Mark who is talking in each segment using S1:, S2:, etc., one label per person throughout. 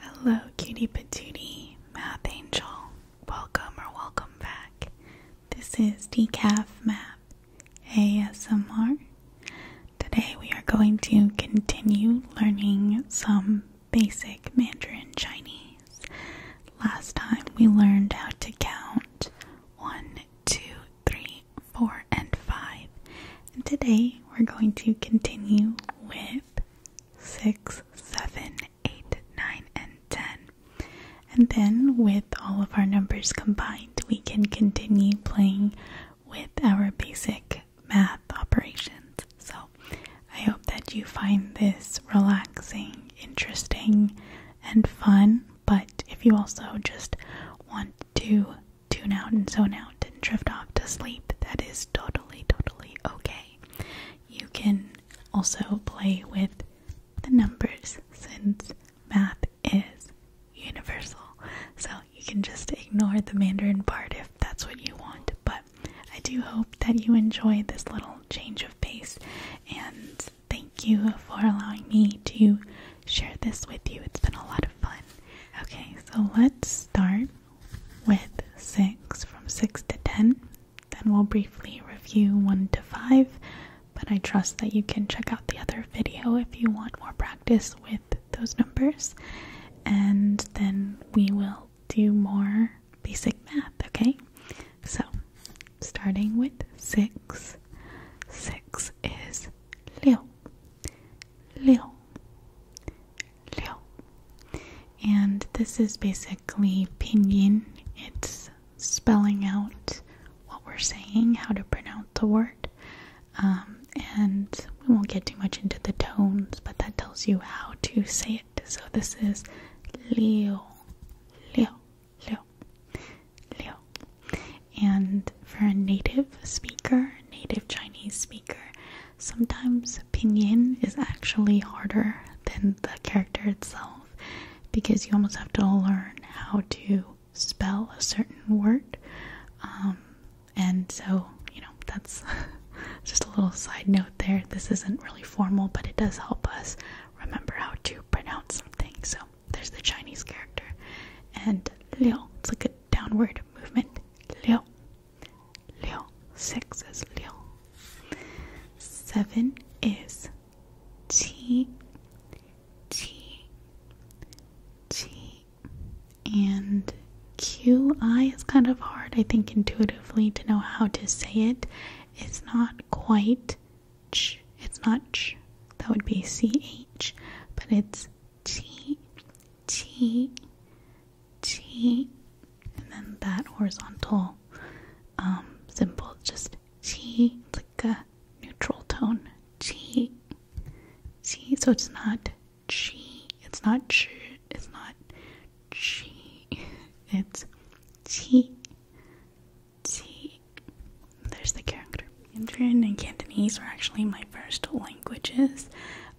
S1: Hello, cutie patootie, math angel. Welcome or welcome back. This is Decaf Math ASMR. Today we are going to continue learning some basic Mandarin Chinese. Last time we learned how to count one, two, three, four, and five. And today we're going to continue with six, seven, eight, nine, and ten. And then with all of our numbers combined, we can continue playing with our basic math operations. So I hope that you find this relaxing, interesting, and fun. But if you also just want to tune out and zone out and drift off to sleep, that is totally, totally okay. You can also play with the numbers since math is universal. So you can just ignore the Mandarin part if that's what you want. But I do hope that you enjoy this little change of pace and thank you for allowing me to share this with you. It's been a lot of fun. Okay, so let's start with 6 from 6 to 10. Then we'll briefly review 1 to 5, but I trust that you can check out the other video if you want more practice with those numbers. And then we will do more basic math, okay? So, starting with 6, 6 is 6. 6 Liu. And this is basically pinyin. It's spelling out what we're saying, how to pronounce the word. Um, and we won't get too much into the tones, but that tells you how to say it. So this is Liu, Liu, Liu, Liu. And for a native speaker, native Chinese speaker, Sometimes pinyin is actually harder than the character itself because you almost have to learn how to spell a certain word. Um, and so, you know, that's just a little side note there. This isn't really formal, but it does help us remember how to pronounce something. So there's the Chinese character. And liu, it's like a downward movement. Liu, Lion. Six is Lion. Seven is T, T, T. And QI is kind of hard, I think, intuitively to know how to say it. It's not quite it's not that would be CH, but it's T, T, T, and then that horizontal um, symbol just T, like a neutral tone. T, T, so it's not G, it's not G, it's not G, it's T, T. There's the character. Mandarin and Cantonese were actually my first languages,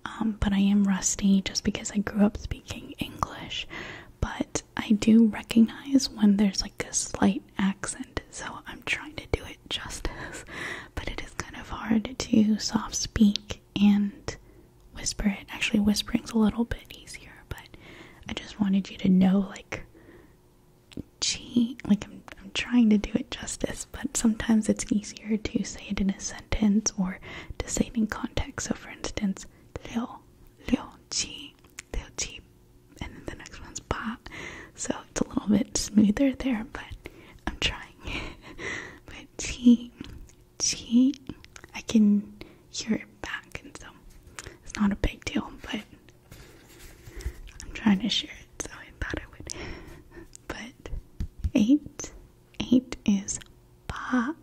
S1: um, but I am rusty just because I grew up speaking. English, but I do recognize when there's like a slight accent, so I'm trying to do it justice, but it is kind of hard to soft speak and whisper it. Actually, whispering's a little bit easier, but I just wanted you to know like gee, like I'm I'm trying to do it justice, but sometimes it's easier to say it in a sentence sentence or deciding context. So, for instance, liu, liu qi, liu qi, and then the next one's ba. So it's a little bit smoother there, but I'm trying. but qi, qi, I can hear it back, and so it's not a big deal, but I'm trying to share it, so I thought I would. But eight, eight is ba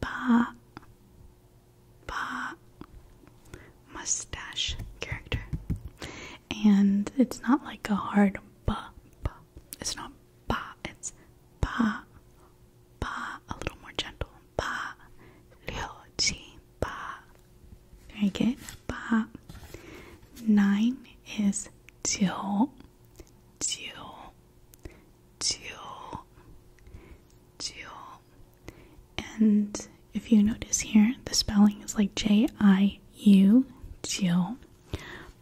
S1: ba ba mustache character. And it's not like a hard ba It's not ba, it's ba ba a little more gentle. Ba liu qi ba. Very good. Ba nine is jiu jiu teal, teal. And if you notice here, the spelling is like J I U, teal.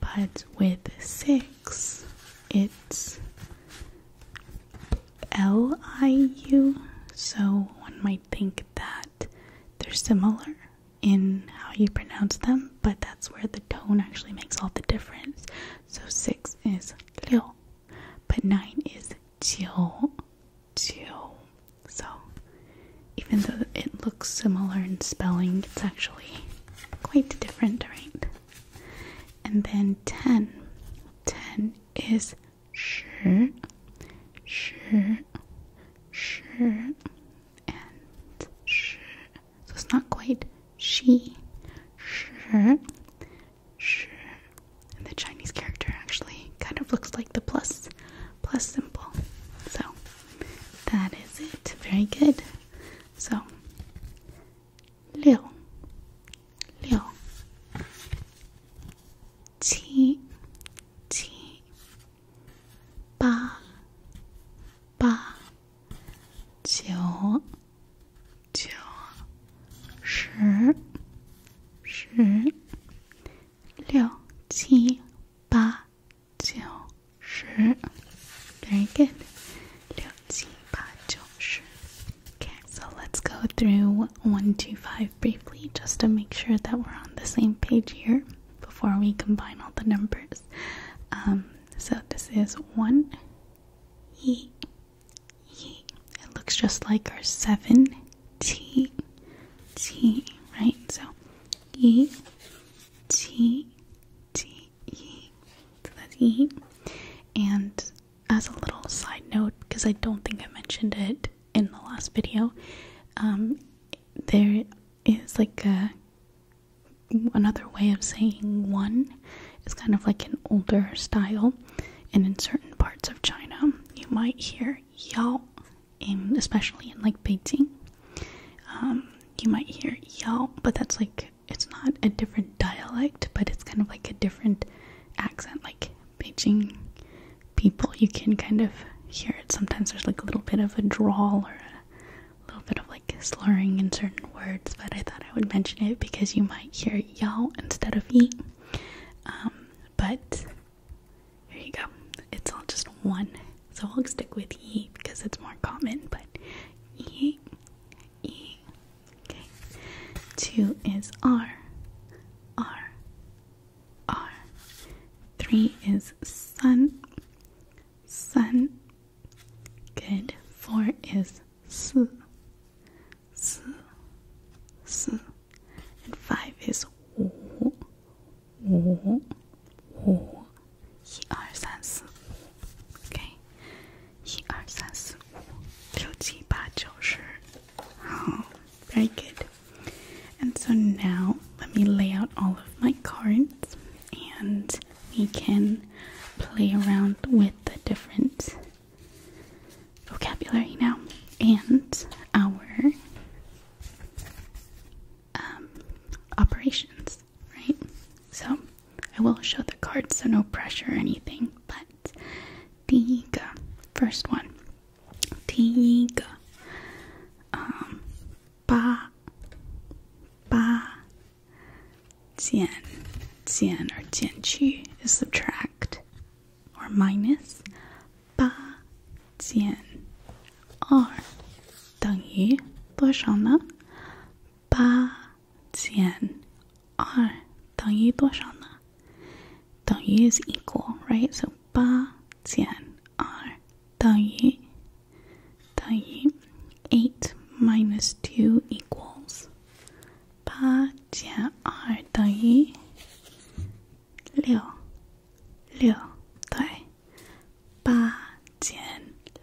S1: But with six, it's L I U. So one might think that they're similar in how you pronounce them, but that's where the tone actually makes all the difference. So six is liu, but nine is jiu, jiu. So even though it looks similar in spelling, it's actually quite different, right? And then ten, ten is shi, shi, shi, and shi. So it's not quite she. Sure. Sure. And the Chinese character actually kind of looks like the plus plus symbol. So that is it. Very good. So Liu Liu T T Ba Ba 九九十十六七八九十，very good. 六七八九十。Okay, so let's go through one, two, five briefly, just to make sure that we're on the same page here before we combine all the numbers. Um, so this is one. E E. It looks just like our seven T T, right? So E T T E. So that's E. And as a little side note, because I don't think I mentioned it in the last video, um, there is like a another way of saying one is kind of like an older style, and in certain parts of China, you might hear yao, in especially in like Beijing. Um, you might hear yao, but that's like it's not a different dialect, but it's kind of like a different accent, like Beijing people. You can kind of hear it. Sometimes there's like a little bit of a drawl or a little bit of like slurring in certain words, but I thought I would mention it because you might hear y'all instead of ye. Um, but here you go. It's all just one. So i will stick with ye because it's more common, but ye, ye. Okay. Two is R, R, R. Three is sun, sun, Good. Four is su, su, su. And five is wu, wu, wu. Very good. And so now let me lay out all of my cards and we can play around with the different vocabulary now and our um, operations, right? So I will show the cards, so no pressure or anything, but Tiga, first one. Tiga. ba, um, ba, Jian, Jian or Jianqu is subtract or minus. Ba Jian R 等于多少呢？八减二等于多少呢？等于 is equal, right? So 八减二等于等于8 minus 2 equals 八减二等于六，六对，八减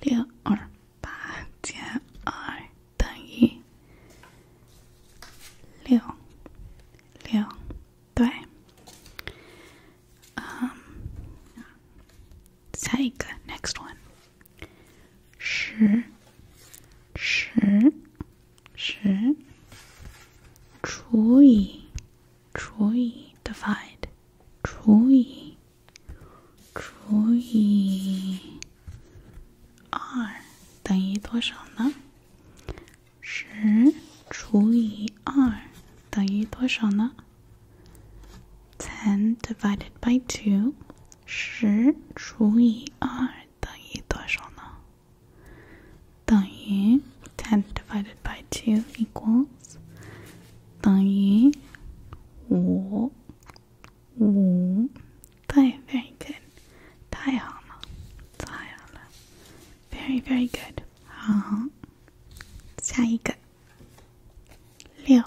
S1: 六二，八减二等于六，六对。Um, 下一个 next one，十，十，十除以除以 divide 除以除以二等于多少呢？十除以二等于多少呢？10 divided by 2 10除以2等于多少呢?等于10 divided by 2 equals 等于5 very, good 太好了,太好了 very, very good 好下一个六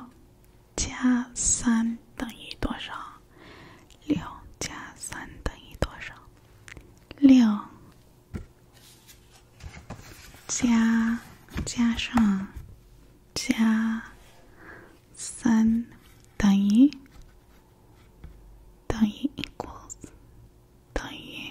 S1: 加三等于多少？六加三等于多少？六加加上加三等于等于 equals 等于。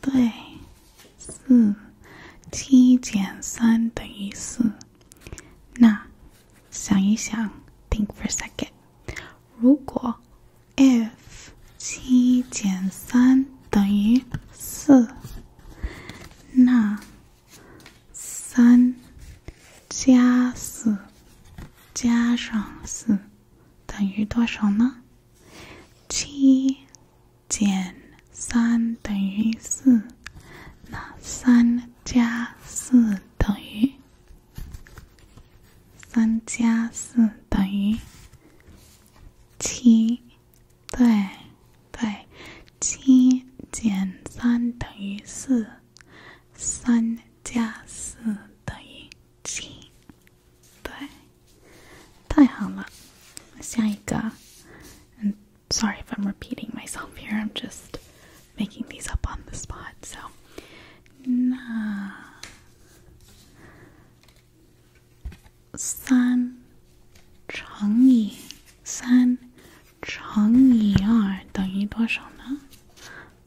S1: 对，四，七减三等于四。那想一想，think for a second。如果 if 七减三等于四，那三加四加上四等于多少呢？七。减三等于四，那三加四等于？三加四等于七，对对，七减三等于四，三加四等于七，对。太好了，下一个。sorry if I'm repeating myself here. I'm just making these up on the spot. So，那三乘以三乘以二等于多少呢？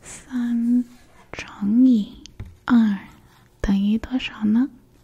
S1: 三乘以二等于多少呢？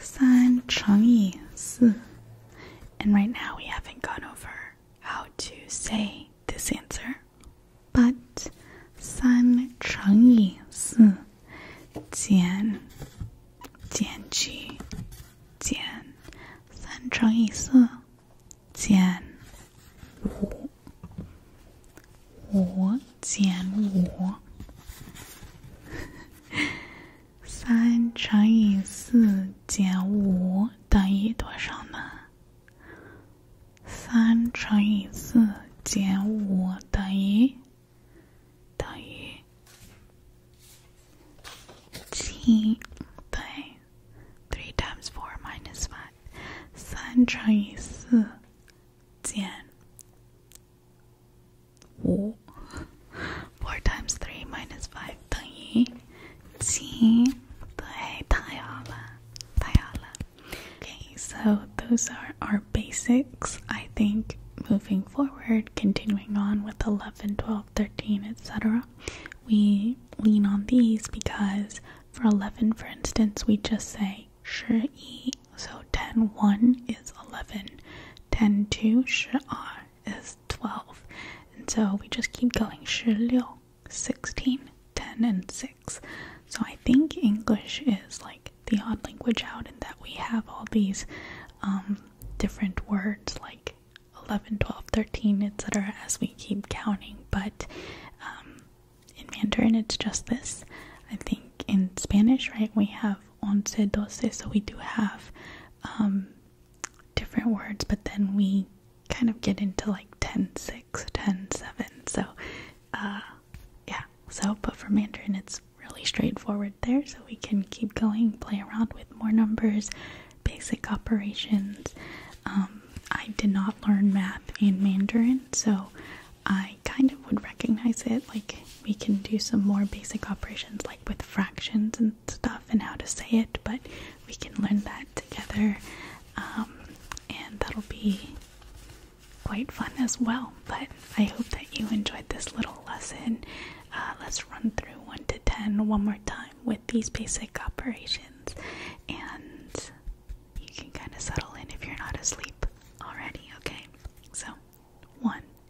S1: San Chengyi Si. And right now we haven't gone over how to say this answer. But San Chengyi Si Jian Jian Ji Jian San Chengyi Si Jian Wu Wu Jian Wu 三乘以四减五等于多少呢？三乘以四减五等于等于七对。Three times four minus five。三乘以四减。4 times 3 minus 5等于七对太好了太好了 Okay, so those are our basics. I think moving forward, continuing on with 11, 12, 13, etc., we lean on these because for 11, for instance, we just say sure yi. So 10, 1 is 11. 10 R is 12. And so we just keep going. 十六, 16, 10 and 6. So I think English is like the odd language out in that we have all these um, different words like 11, 12, 13, etc. as we keep counting. But um, in Mandarin, it's just this. I think in Spanish, right, we have once doce, so we do have um, different words, but then we kind of get into like 10 6, 10 7. So, uh, yeah, so but for Mandarin, it's really straightforward there, so we can keep going, play around with more numbers, basic operations. Um, I did not learn math in Mandarin, so I kind of would recognize it like we can do some more basic operations like with fractions and stuff and how to say it, but we can learn that together um, and that'll be quite fun as well. But I hope that you enjoyed this little lesson. Uh, let's run through 1 to 10 one more time with these basic operations and you can kind of settle in if you're not asleep already, okay? So, 1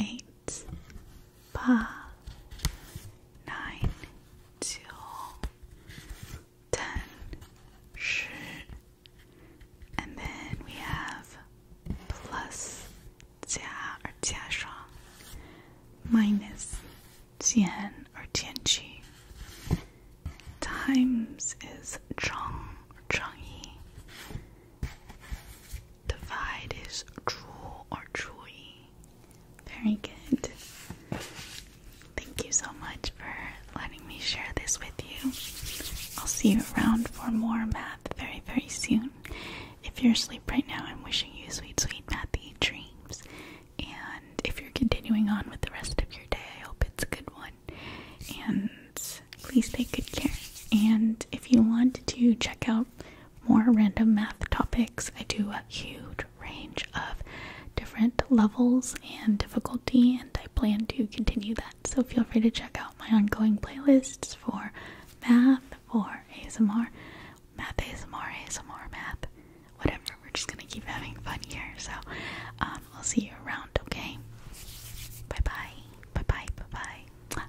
S1: eight, five, nine, 九, ten, 十, and then we have plus 加而加上 minus 减而减去 times is 乘乘以 Divide is true or truly. Very good. Thank you so much for letting me share this with you. I'll see you around for more math very, very soon. If you're asleep right now, I'm wishing you sweet, sweet mathy dreams. And if you're continuing on with the rest of your day, I hope it's a good one. And please take good care. And if you want to check out more random math topics. I do a huge range of different levels and difficulty, and I plan to continue that. So feel free to check out my ongoing playlists for math, for ASMR, math ASMR, ASMR math, whatever. We're just gonna keep having fun here. So um, I'll see you around, okay? Bye bye. Bye bye. Bye bye.